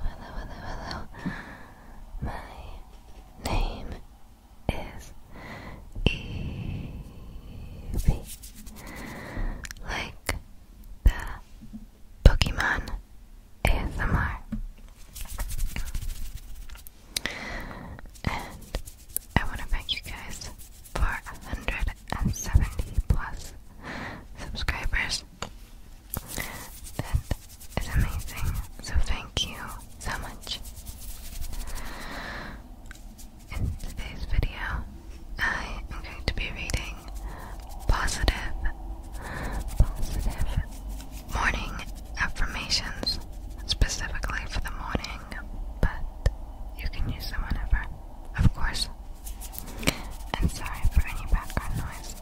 hello, hello. My name is Evie. Like the Pokemon ASMR. And I want to thank you guys for 170 plus subscribers. That is amazing. So thank you so much. In today's video, I am going to be reading positive, positive morning affirmations specifically for the morning, but you can use them whenever, of course. And sorry for any background noise.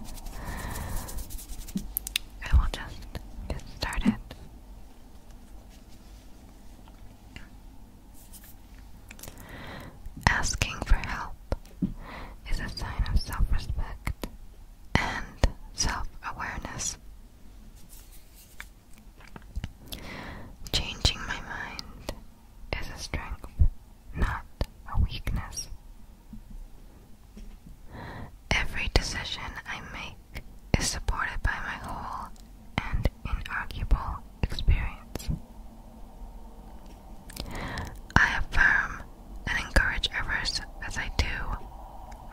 I will just get started. Asking for help is a sign of self respect and self awareness. Changing my mind is a strength, not a weakness. Every decision I make is supported by my whole and inarguable experience. I affirm and encourage others as I do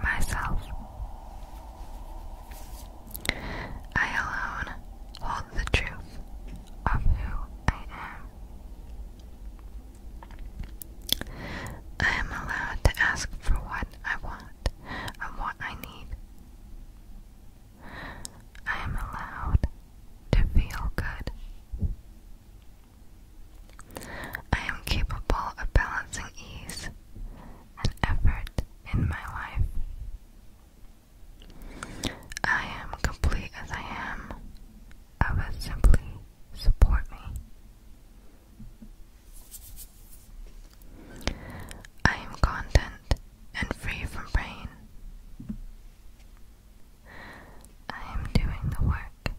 myself. I alone hold the truth of who I am. I am allowed to ask for what I want and what I need. I am allowed to feel good. I am capable of balancing ease and effort in my life. I am complete as I am. Others simply support me. I am content and free from pain. I am doing the work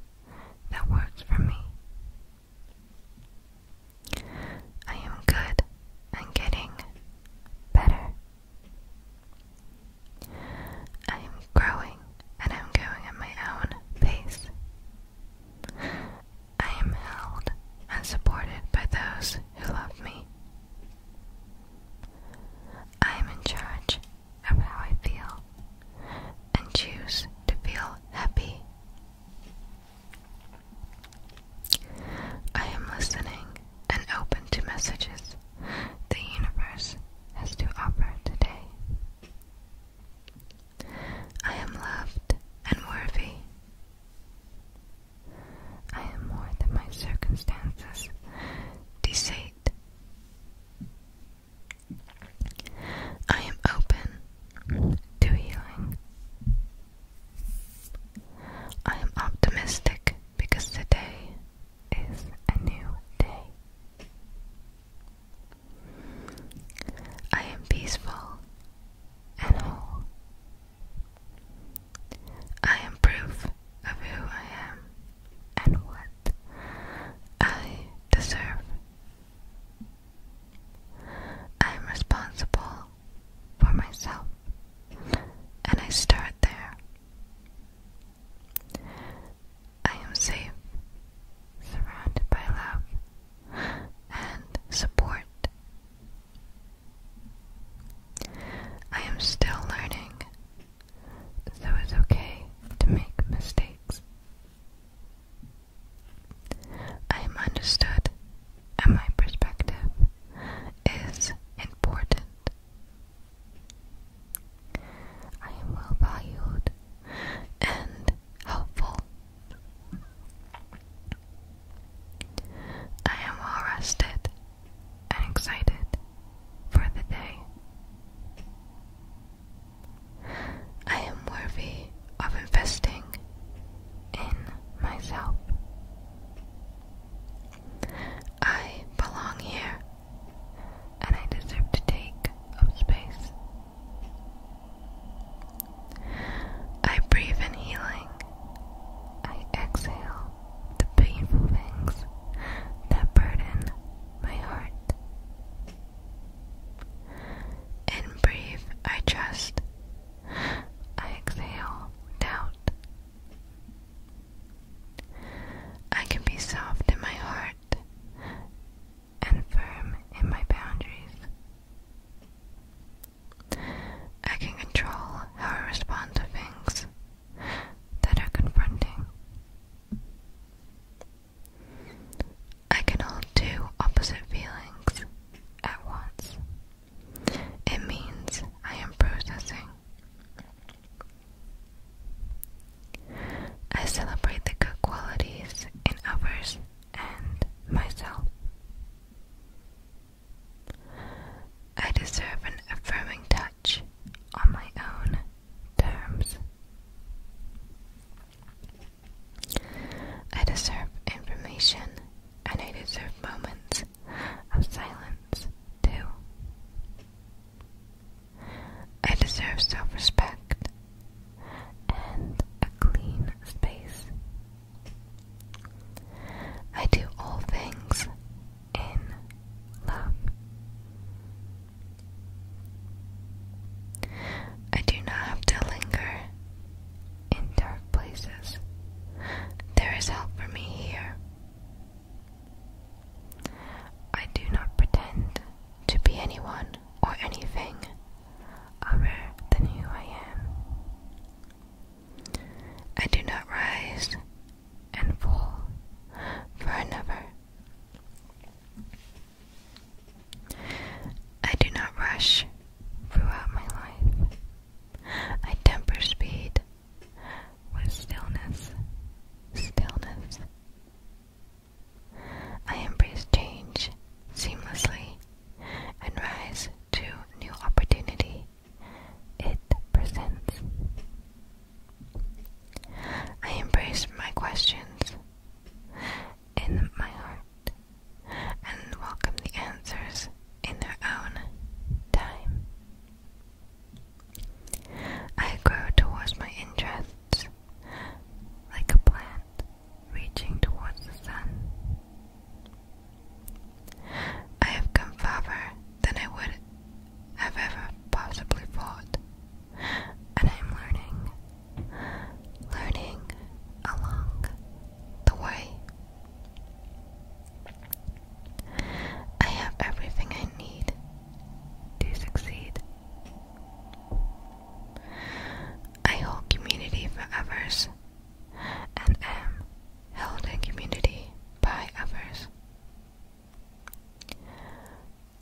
that works for me. I am good and getting better. I am growing and I'm going at my own pace. I am held and supported by those who love me. I am in charge of how I feel and choose to feel happy. I am listening and open to messages the universe has to offer today. I am loved and worthy. I am more than my circumstances dictate. I am open to healing. I am optimistic because today is a new day. I am peaceful and whole. I am proof of who I am and what I deserve. I am responsible for myself, and I start there. I am safe, surrounded by love and support I am still learning, so it's okay to make mistakes. I am understood, and my perspective is important. I am well valued and helpful. I am well rested and excited for the day. I am worthy of investing in myself. I belong here and I deserve to take up space. I breathe in healing. I exhale the painful things that burden my heart. In brief, I trust. I exhale doubt. I can be soft in my heart and firm in my boundaries. I can control how I respond to things that are confronting. I can hold two opposite feelings at once. It means I am processing. I celebrate the good qualities in others and myself. I deserve an affirming touch on my own terms. I deserve information and I deserve moments of silence too. I deserve self respect and a clean space I do all things in love. I do not have to linger in dark places. There is help for me here. I do not pretend to be anyone or anything other than who I am. I do not rise and fall for another. I do not rush throughout my life. I temper speed with stillness, stillness. I embrace change seamlessly and rise to new opportunity it presents. I embrace my questions in my heart and welcome the answers in their own time. I grow towards my interests like a plant reaching towards the sun. I have come farther than I would have ever possibly thought, and I'm learning, learning along the way. I have everything I need to succeed. I hold community for others and am held in community by others.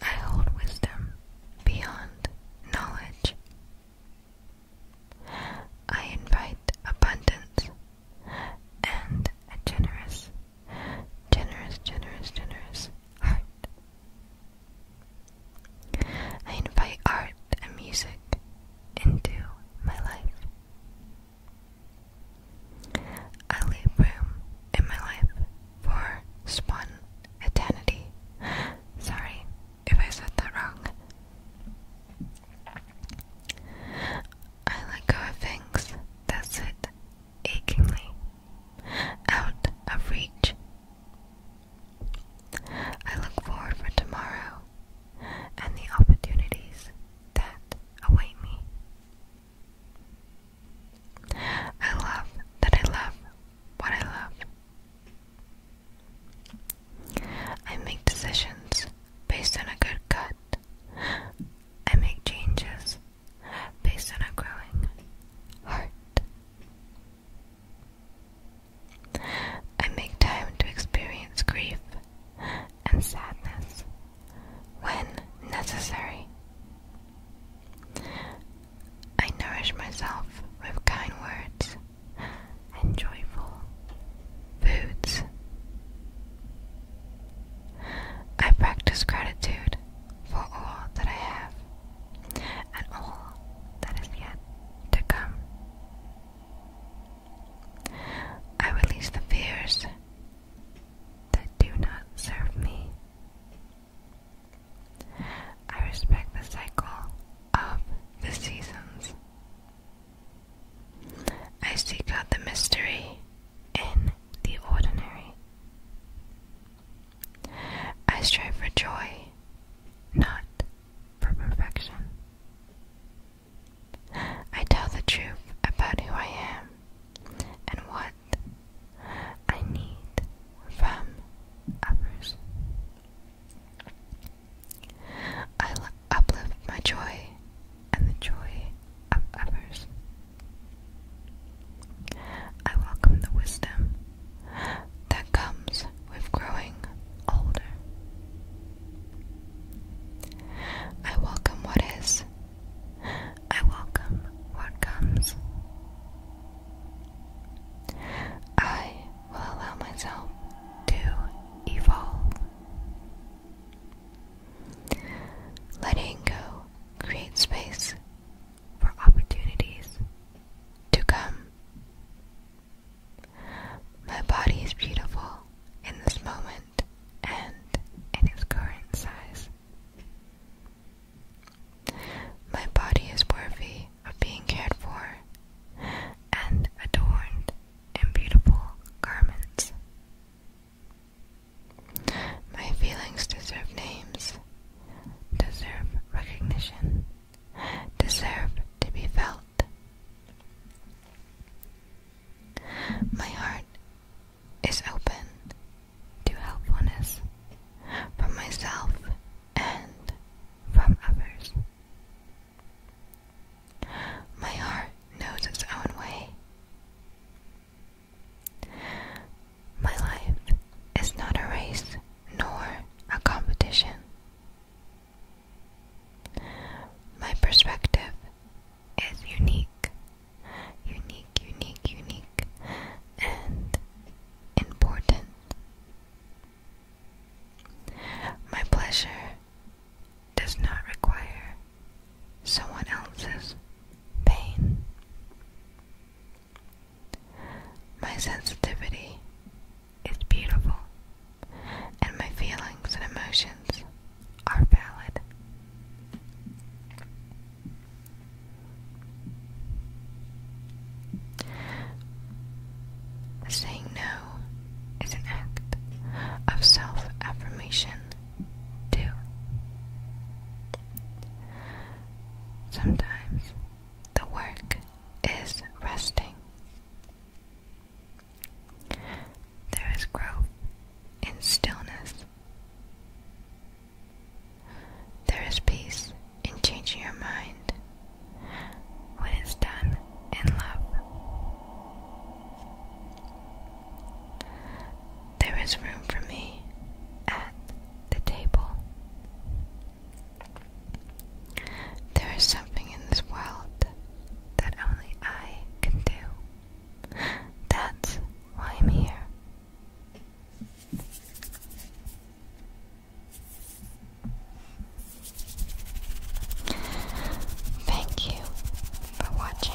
I hold wisdom beyond knowledge. I invite abundance and a generous, generous, generous, generous heart I invite art and music into my life. I leave room in my life for spontaneity. Sorry if I said that wrong. I let go of things that sit achingly out of reach I look forward for tomorrow and the opportunities that await me. I love that I love what I love. I make decisions based on a good gut. I make changes based on a growing heart. I make time to experience grief and sadness when necessary. I nourish myself with kind words and joyful foods. I practice gratitude for all that I have and all that is yet to come. I release the fears that do not serve me. I respect the cycle of the seasons. I seek out the mystery in the ordinary. I strive for joy, not for perfection. I tell the truth about who I am and what I need from others. I uplift my joy and the joy of others. I welcome the wisdom that comes with growing older. I welcome what is. I welcome what comes. I will allow myself to evolve. Letting go creates space for opportunities to come. My body is beautiful in this moment and in its current size. My body is worthy of being cared for and adorned in beautiful garments. My feelings deserve names, deserve recognition, deserve to be felt. My heart is open to helpfulness from myself and from others. My heart knows its own way. My life is not a race nor a competition. My perspective is unique, unique, unique, unique, and important. My pleasure does not require someone else's pain. My sensitivity is beautiful, and my feelings and emotions are valid. Saying no is an act of self affirmation do. Sometimes the work is resting. There is growth in stillness. There is peace in changing your mind when it's done in love. There is room for me at the table. There is something in this world that only I can do. That's why I'm here. Thank you for watching